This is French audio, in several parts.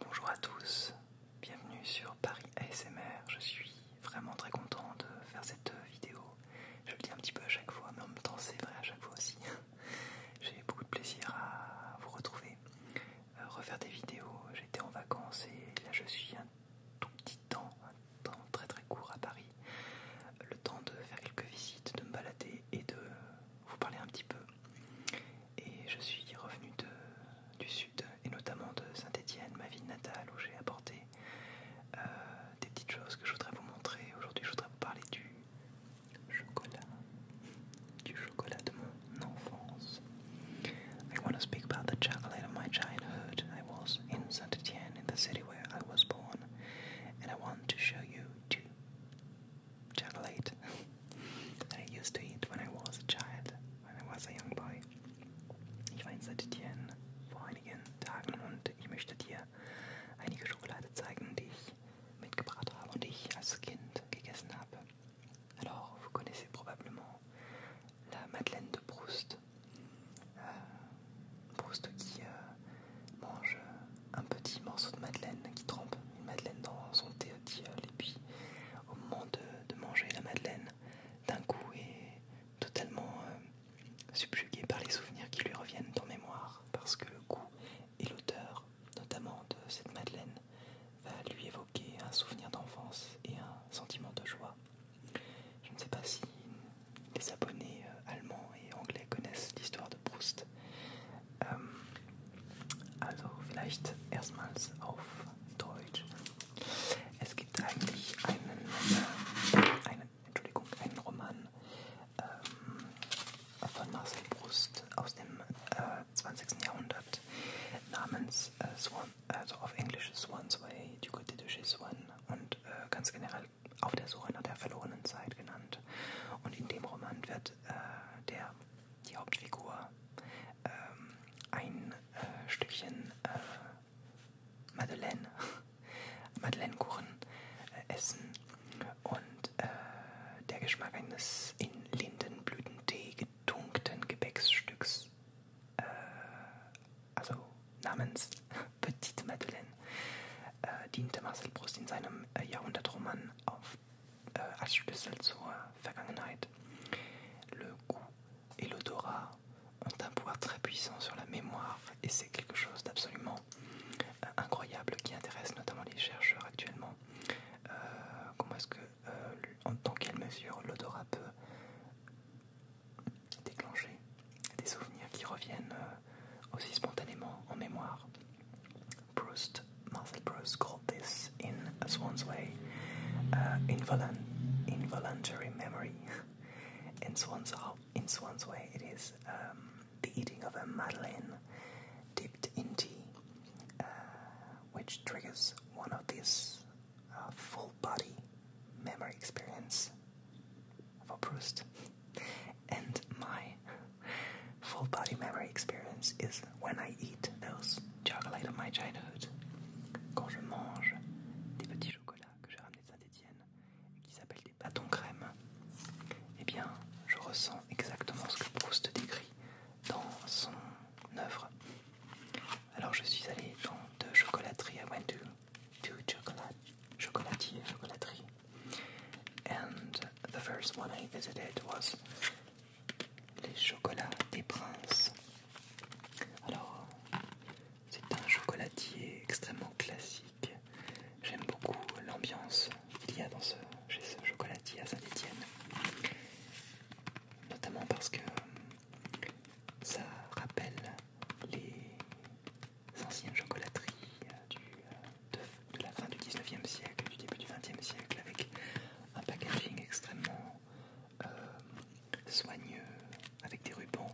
Bonjour à tous, bienvenue sur Paris ASMR. Je suis vraiment très content de faire cette vidéo. Je le dis un petit peu à chaque fois, mais en même temps c'est vrai à chaque fois aussi. J'ai beaucoup de plaisir à vous retrouver, euh, refaire des vidéos. J'étais en vacances et là je suis tout petit temps, un temps très très court à Paris, le temps de faire quelques visites, de me balader et de vous parler un petit peu. Et je suis revenu du sud et notamment de Saint-Étienne, ma ville natale, où j'ai apporté euh, des petites choses que je voudrais vous montrer. Aujourd'hui, je voudrais vous parler du chocolat, du chocolat de mon enfance. I want to speak about the chocolate of my childhood. I was in Saint Etienne, in the city where I was born, and I want to show you two chocolate that I used to eat when I was a child, when I was a young boy. Ich war in Saint Etienne vor einigen Tagen und ich möchte dir einige Schokolade zeigen, die ich mitgebracht habe und die ich als Kind gegessen habe. Alors, vous connaissez probablement la Madeleine de Proust. Euh, Proust qui euh, mange un petit morceau de Madeleine, qui trempe une Madeleine dans son thé et puis au moment de, manger la Madeleine, d'un coup est totalement euh, subjugué par les souvenirs qui lui reviennent en mémoire, parce que le goût et l'odeur, notamment de cette Madeleine, va lui évoquer un souvenir d'enfance et un sentiment de joie. Je ne sais pas si les abonnés euh, allemands et anglais connaissent l'histoire de Proust. Ähm, also vielleicht erstmals auf Deutsch. Es gibt eigentlich einen, äh, einen, Entschuldigung, einen Roman ähm, von Marcel Proust aus dem äh, 20. Jahrhundert namens äh, Swan also auf Englisch Swan's Way, die Côte de chez Swan und äh, ganz generell auf der Suche nach der verlorenen Zeit genannt. Und in dem Roman wird äh, der, die Hauptfigur ähm, ein äh, Stückchen äh, Madeleine, Madeleinekuchen äh, essen und äh, der Geschmack eines in Lindenblütentee getunkten Gebäcksstücks äh, also namens Petite Madeleine, äh, diente Marcel Proust in seinem äh, Jahrhundertroman auf, äh, als Schlüssel zur Vergangenheit. Le goût et l'odorat ont un pouvoir très puissant sur la mémoire et c'est quelque chose d'absolument euh, incroyable qui intéresse notamment les chercheurs actuellement. Euh, comment est-ce que In euh, dans quelle mesure l'odorat peut déclencher des souvenirs qui reviennent euh, aussi spontanément en mémoire. Marcel Proust called this in A Swan's Way uh, involuntary memory. in, Swan's, Way, it is um, the eating of a madeleine dipped in tea, uh, which triggers one of these full body memory experience for Proust. And my full body memory experience is when I eat those chocolate of my childhood. Quand je mange des petits chocolats que j'ai ramenés de Saint-Etienne qui s'appellent des bâtons crème, eh bien, je ressens exactement ce que Proust décrit dans son œuvre. Alors je suis allé dans deux chocolateries. I went to two chocolate, chocolatiers, chocolateries. And the first one I visited was les chocolats des princes. Alors c'est un chocolatier extrêmement classique. J'aime beaucoup l'ambiance qu'il y a dans ce, chez ce chocolatier à saint etienne notamment parce que euh, ça rappelle les anciennes chocolateries euh, euh, de, la fin du 19e siècle, du début du 20e siècle, avec un packaging extrêmement soigneux, avec des rubans.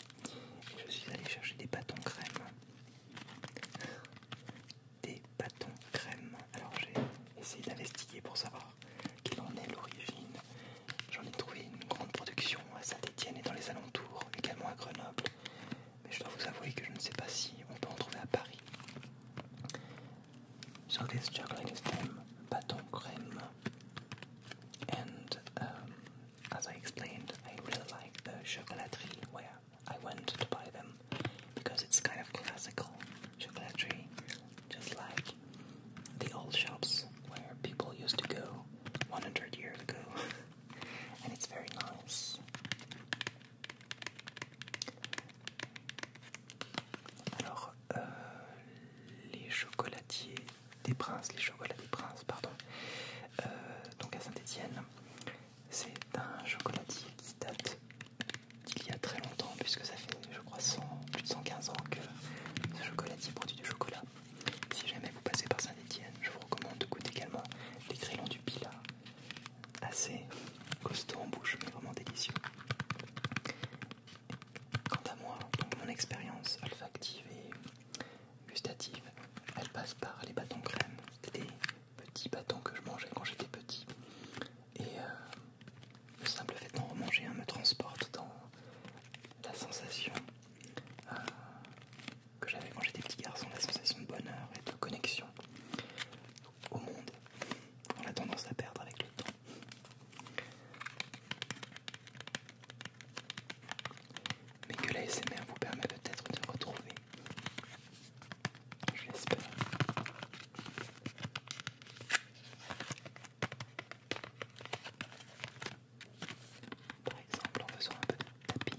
je suis allé chercher des bâtons crème des bâtons crème. Alors j'ai essayé d'investiguer pour savoir quelle en est l'origine. J'en ai trouvé une grande production à Saint-Étienne et dans les alentours, également à Grenoble. Mais je dois vous avouer que je ne sais pas si on peut en trouver à Paris. So this chocolat is from Baton crème. and um, as I explained, I really like the chocolaterie where I went to buy them. because it's kind of classical chocolaterie, just like the old shops where people used to go 100 years ago, and it's very nice. Alors, euh, les chocolatiers des princes, les chocolats des princes, pardon, euh, donc à Saint-Étienne, C'est un chocolatier qui date d'il y a très longtemps, puisque ça fait, je crois, plus de 115 ans que ce chocolatier produit du chocolat. Si jamais vous passez par saint étienne je vous recommande de goûter également les crayons du Pila. Assez costaud en bouche, mais vraiment délicieux. Quant à moi, mon expérience olfactive et gustative, elle passe par les bâtons crème. Petit bâton que je mangeais quand j'étais petit. Et euh, le simple fait d'en remanger me transporte dans la sensation euh, que j'avais quand j'étais petit garçon, la sensation de bonheur et de connexion au monde. On a tendance à perdre avec le temps. Mais que l'ASMR vous permet peut-être de retrouver je l'espère. Par exemple, on en faisant un peu de tapping.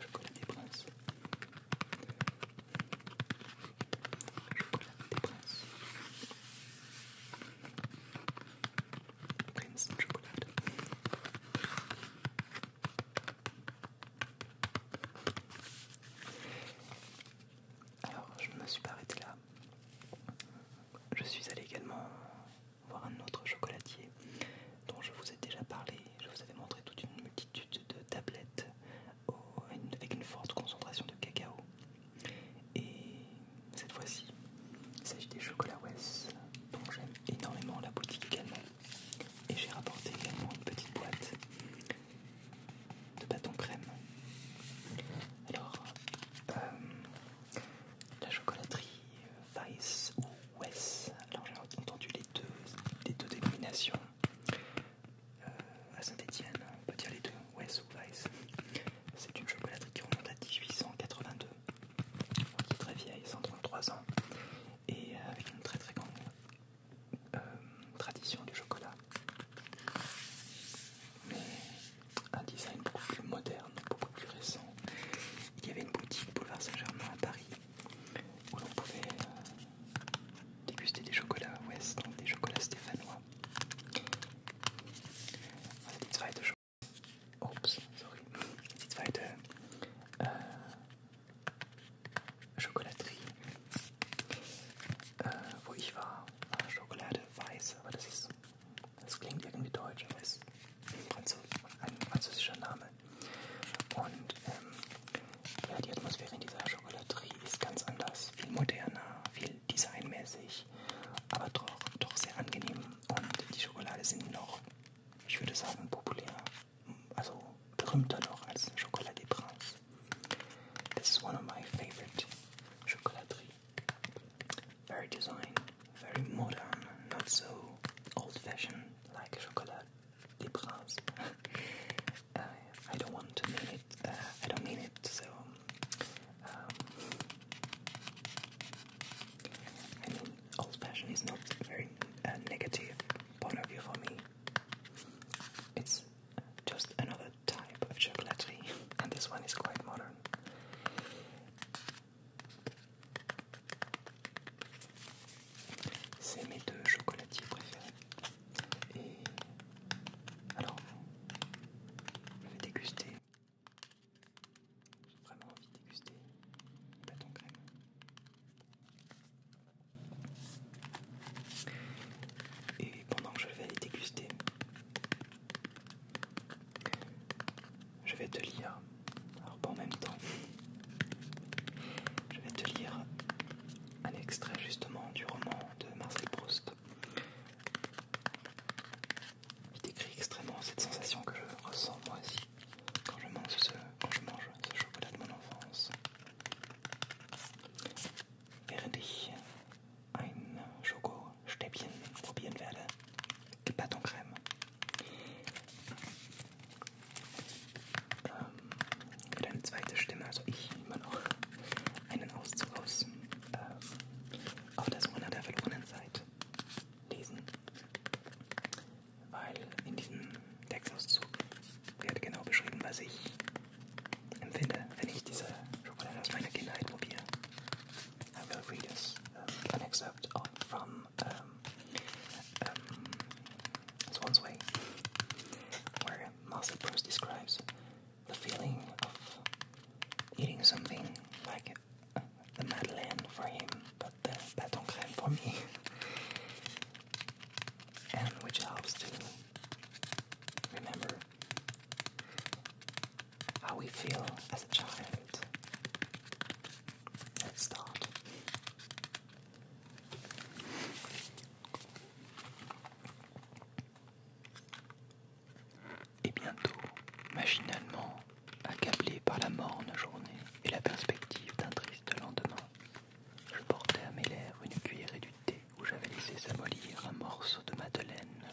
Chocolat des princes. Chocolat des princes. Prince Chocolat. Alors, je ne me suis pas arrêté là. Je suis allé également voir un autre chocolatier dont je vous ai déjà parlé. Je vous avais montré toute une multitude de tablettes avec une forte concentration de cacao. Et cette fois-ci, il s'agit des chocolats West dont j'aime énormément la boutique également. Et j'ai rapporté également une petite boîte de bâton crème. Alors, euh, la chocolaterie Weiss Wes. Alors j'ai entendu les deux, deux dénominations euh, à Saint-Étienne. On peut dire les deux, Wes ou Weiss. C'est une chocolaterie qui remonte à 1882, qui est très vieille, 133 ans, et euh, avec une très très grande euh, tradition du chocolat. Mais un design beaucoup plus moderne, beaucoup plus récent, il y avait une boutique boulevard Saint-Germain à Paris où l'on pouvait euh, déguster des chocolats ouest, donc hein, des chocolats stéphanois. Oops, sorry. Die zweite wo ich Schokolade Das klingt irgendwie deutsch, aber ist ein französischer Name. Und ähm, ja, die Atmosphäre in dieser Schokolaterie ist ganz anders, viel moderner, viel designmäßig, aber doch, doch sehr angenehm. Und die Schokolade sind noch, ich würde sagen, populär, also berühmter noch als Schokolade Prince. This is one of my favorite Schokolaterie. Very design, very modern, not so old-fashioned like chocolate des Princes. Uh, I don't want to mean it. Uh, I don't mean it. So um, old-fashioned is not very uh, point of view for me. It's just another type of chocolaterie, and this one is quite modern. C'est mes deux chocolatiers préférés. Et alors, je vais déguster. J'ai vraiment envie de déguster le bâton crème. Et pendant que je vais les déguster, je vais te lire, alors en même temps, je vais te lire un extrait justement du roman de Marcel Proust. Il décrit extrêmement cette sensation que je ressens moi aussi quand je mange ce, je mange chocolat de mon enfance. ein Schokostäbchen probieren werde. Die Batoncreme. Ähm, für eine zweite Stimme, also ich immer noch einen Auszug aus äh, auf der Suche nach der verlorenen Zeit lesen. Weil in diesem Textauszug wird genau beschrieben, was ich empfinde, wenn ich diese Schokolade aus meiner Kindheit probiere. I will read us an excerpt from um, um, Swan's Way, where Master Bruce describes the feeling of eating something like uh, the Madeleine for him, but the baton crème for me, and which helps to remember how we feel as a child. Et bientôt, machinalement, accablé par la morne journée et la perspective d'un triste lendemain, je portais à mes lèvres une cuillerée du thé où j'avais laissé s'amollir un morceau de madeleine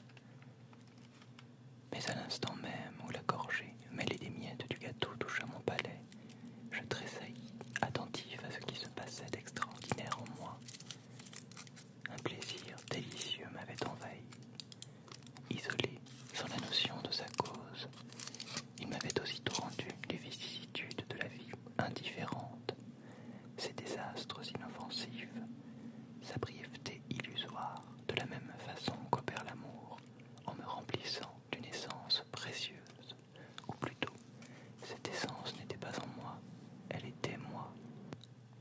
mais à l'instant même où la gorgée mêlée des miettes du gâteau toucha mon palais, je tressaillis, attentif à ce qui se passait d'extraordinaire en moi. Un plaisir délicieux m'avait envahi. Isolé, sans la notion de sa cause, il m'avait aussitôt rendu les vicissitudes de la vie indifférente ses désastres inoffensifs, sa brièveté illusoire, de la même façon qu'opère l'amour, en me remplissant d'une essence précieuse, ou plutôt, cette essence n'était pas en moi, elle était moi.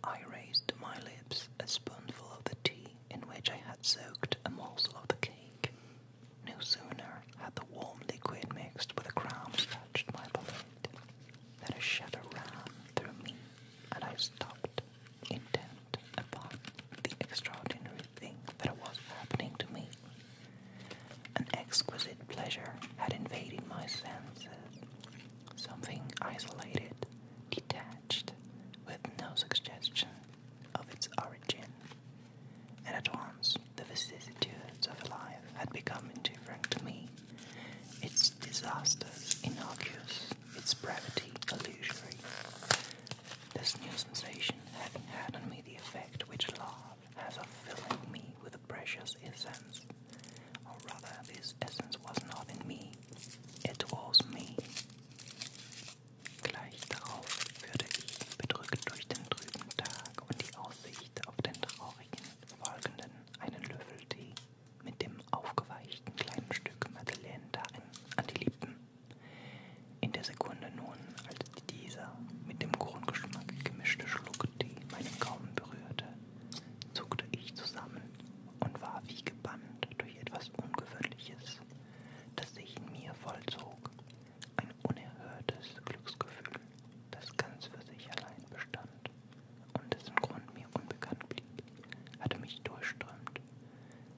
I raised to my lips a spoonful of the tea in which I had soaked a morsel of the cake. No sooner had the warm liquid mixed with the crumbs touched my palate that a shadow ran through me, and I stopped, intent upon the extraordinary thing that was happening to me. An exquisite pleasure had invaded my senses, something isolated, detached, with no suggestion of its origin. And at once the vicissitudes of life had become indifferent to me. Its disasters innocuous, its brevity illusory. This new sensation having had on me the effect which love has of filling me with precious essence. Or rather, this essence was not in me, it was me. Gleich darauf würde ich, bedrückt durch den trüben Tag und die Aussicht auf den traurigen folgenden einen Löffel Tee mit dem aufgeweichten kleinen Stück Madeleine darin an die Lippen. In der Sekunde nun, als dieser mit dem Grundgeschmack gemischte Schluck Tee meinen Gaumen berührte, zuckte ich zusammen und war wie gebannt durch etwas Ungewöhnliches, das sich in mir vollzog. Ein unerhörtes Glücksgefühl, das ganz für sich allein bestand und dessen Grund mir unbekannt blieb, hatte mich durchströmt.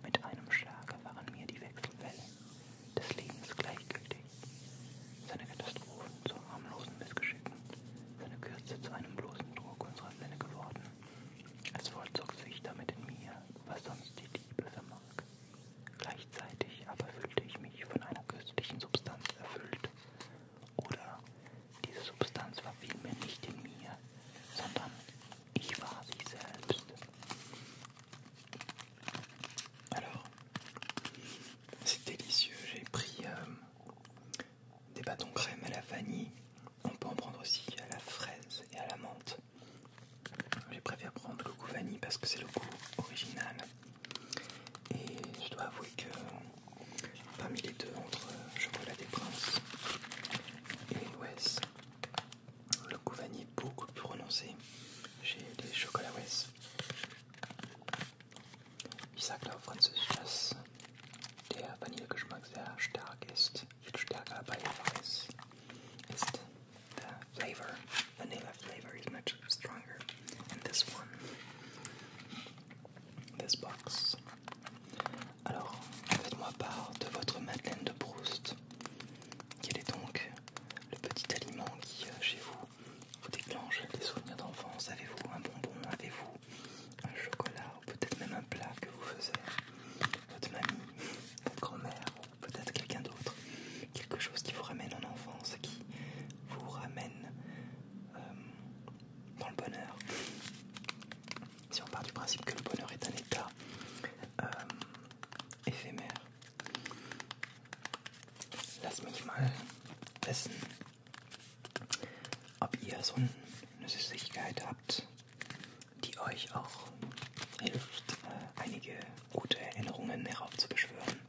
Mit einem Schlage waren mir die Wechselfälle des Lebens gleichgültig. Seine Katastrophen zu harmlosen Missgeschicken, seine Kürze zu einem bloßen Druck unserer Sinne geworden. Es vollzog sich damit in mir, was sonst die Liebe vermag. Gleichzeitig aber fühlte ich mich von einer köstlichen Substanz erfüllt, diese Substanz Alors, c'est délicieux. J'ai pris euh, des bâtons crème à la vanille. On peut en prendre aussi à la fraise et à la menthe. Je préfère prendre le goût vanille parce que c'est le goût original. Et je dois avouer que parmi les deux, entre Chocolat des Princes et l'Ouest, le goût vanille est beaucoup plus prononcé chez les chocolats Ouest. Ich sagte auf Französisch, dass der Vanillegeschmack sehr stark ist, viel stärker bei Weiß ist der Flavor flavor box. Alors, faites-moi part de votre madeleine de Proust. Quel est donc le petit aliment qui, euh, chez vous, vous déclenche des souvenirs d'enfance Avez-vous un bonbon Avez-vous un chocolat Ou peut-être même un plat que vous faisait votre mamie, votre grand-mère, peut-être quelqu'un d'autre quelque chose qui vous ramène en enfance, qui vous ramène euh, dans le bonheur. Si on part du principe que le bonheur est un état euh, ephémère. Lass mich mal wissen, ob ihr so eine Süßigkeit habt, die euch auch hilft, äh, einige gute Erinnerungen heraufzubeschwören.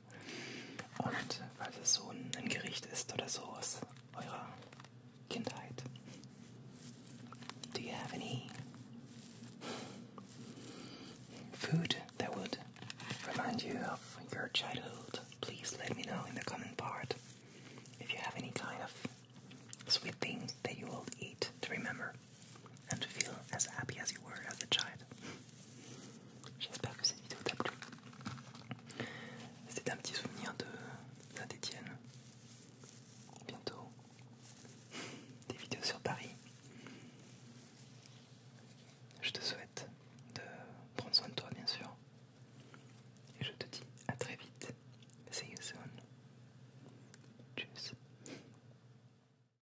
Und falls es so ein Gericht so aus eurer Kindheit. Do you have any food that would remind you of your childhood? Please let me know in the comment part if you have any kind of sweet thing that you will eat to remember. J'espère que cette vidéo t'a plu. C'était un petit souvenir de Saint-Etienne. Bientôt, des vidéos sur Paris. Je te souhaite de prendre soin de toi, bien sûr. Et je te dis à très vite. See you